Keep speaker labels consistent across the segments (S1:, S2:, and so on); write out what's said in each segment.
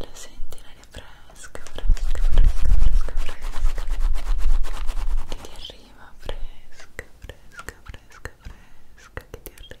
S1: La senti l'aria fresca, fresca, fresca, fresca, fresca, che ti arriva fresca, fresca, fresca, fresca, che ti arriva.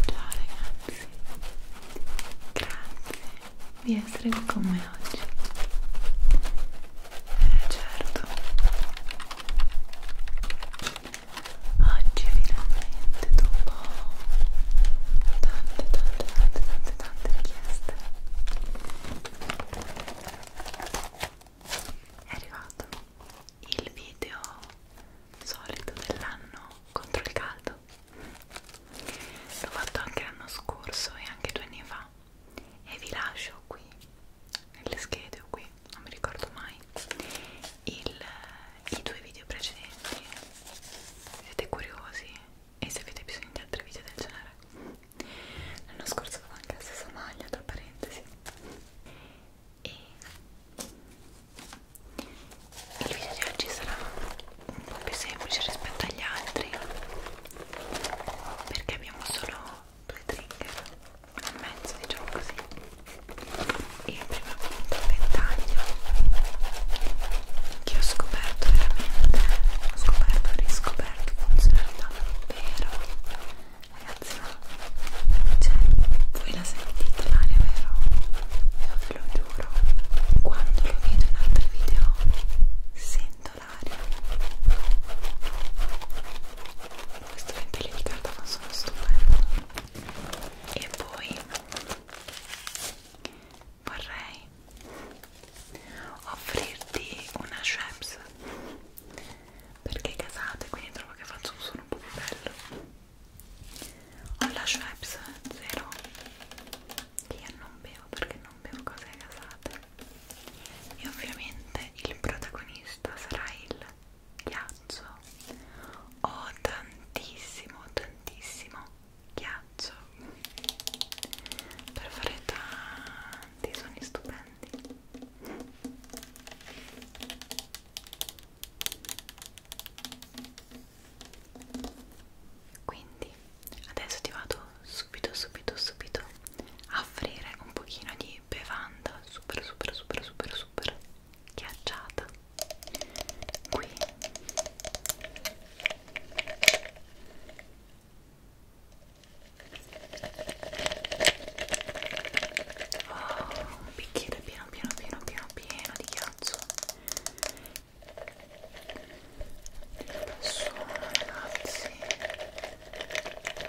S1: Ciao ragazzi, grazie di essere qui con me oggi. Eh certo, oggi finalmente dopo tante tante tante tante tante richieste è arrivato il video solito dell'anno contro il caldo l'ho fatto anche l'anno scorso e anche due anni fa e vi lascio qui nelle schede o qui non mi ricordo mai il, i due video precedenti se siete curiosi e se avete bisogno di altri video del genere l'anno scorso avevo anche la stessa maglia tra parentesi e il video di oggi sarà un po' più semplice rispetto agli altri perché abbiamo solo due trigger e mezzo diciamo così e il primo appunto il ventaglio che ho scoperto veramente ho scoperto, riscoperto scoperto funzionalità davvero ragazzi ma cioè voi la sentite l'aria vero? io ve lo giuro quando lo vedo in altri video sento l'aria questo ventile di carta fa sono stupendo e poi vorrei offrirti una Schweppes perché casate quindi trovo che faccio un suono un po' più bello ho la Schweppes zero che io non bevo perché non bevo cose casate e ovviamente il protagonista sarà il ghiaccio ho tantissimo tantissimo ghiaccio per fare tanti suoni stupendi quindi adesso ti vado subito subito subito a offrire un pochino di bevanda super super super super super ghiacciata qui Oh, un bicchiere pieno pieno pieno pieno pieno di ghiaccio adesso ragazzi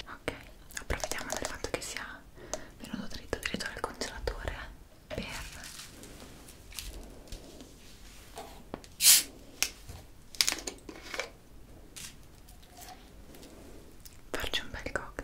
S1: ok approfittiamo del fatto che sia venuto dritto dritto nel congelatore eh. per farci un bel cocktail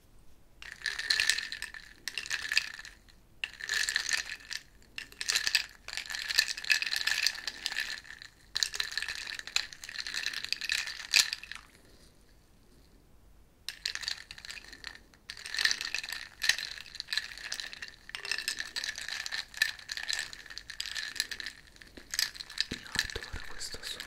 S1: Io adoro questo suono.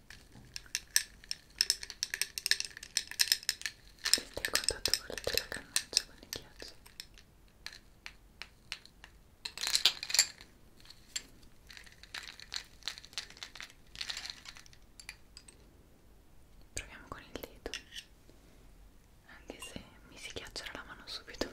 S1: Senti il contatto con la cannuccia con i ghiacci Proviamo con il dito anche se mi si ghiaccerà la mano subito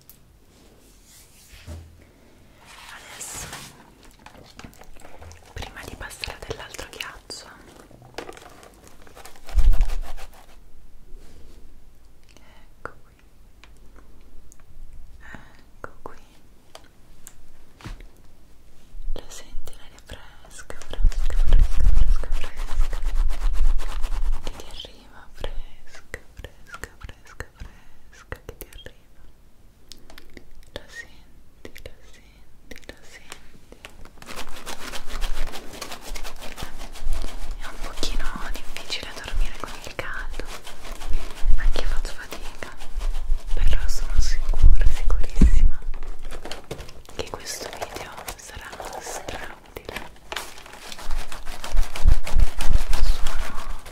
S1: adesso prima di passare dell'altro ghiaccio ecco qui ecco qui lo senti l'aria fresca fresca fresca fresca fresca che ti arriva fresca fresca fresca fresca che ti arriva la senti, la senti, la senti è un pochino difficile dormire con il caldo anche io faccio fatica però sono sicura, sicurissima che questo video sarà strautile sono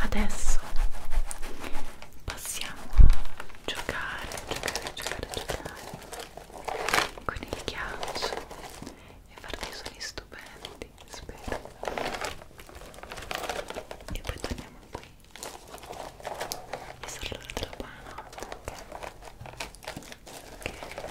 S1: Adesso passiamo a giocare, giocare, giocare, giocare con il ghiaccio e fare dei suoni stupendi, spero. E poi torniamo qui e sarà l'ora della buonanotte. Ok? okay.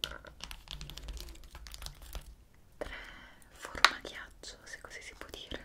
S1: tre forma ghiaccio se così si può dire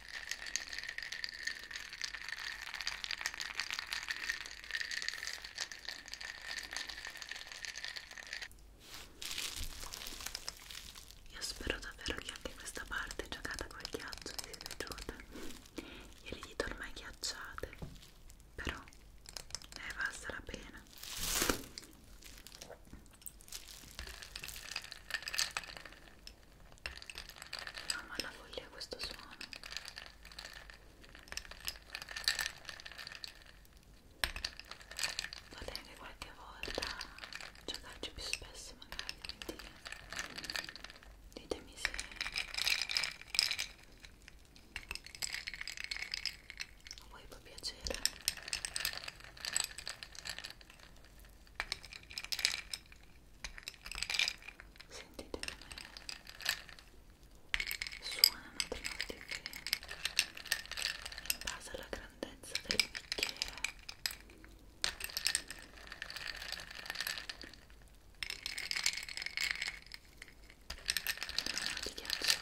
S1: Io spero davvero che anche questa parte giocata col ghiaccio vi sia piaciuta. Io le dito ormai ghiacciate, però ne è valsa la pena. No, ma la voglia questo suono. Vale anche qualche volta giocarci più spesso magari, quindi ditemi se a voi può piacere. Sentite come suonano prima di in base alla grandezza del bicchiere. Di ghiacciare.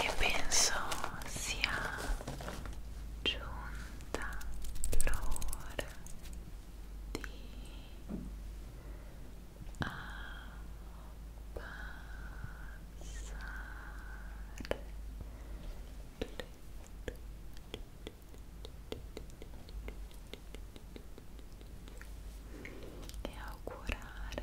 S1: e penso sia giunta l'ora di abbassare e augurarvi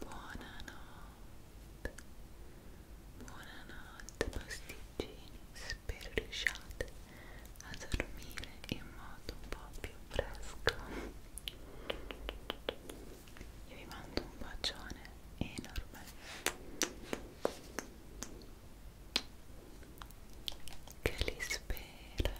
S1: buonanotte, buonanotte pasticcini, spero riusciate a dormire in modo un po' più fresco. Io vi mando un bacione enorme. Che li spera.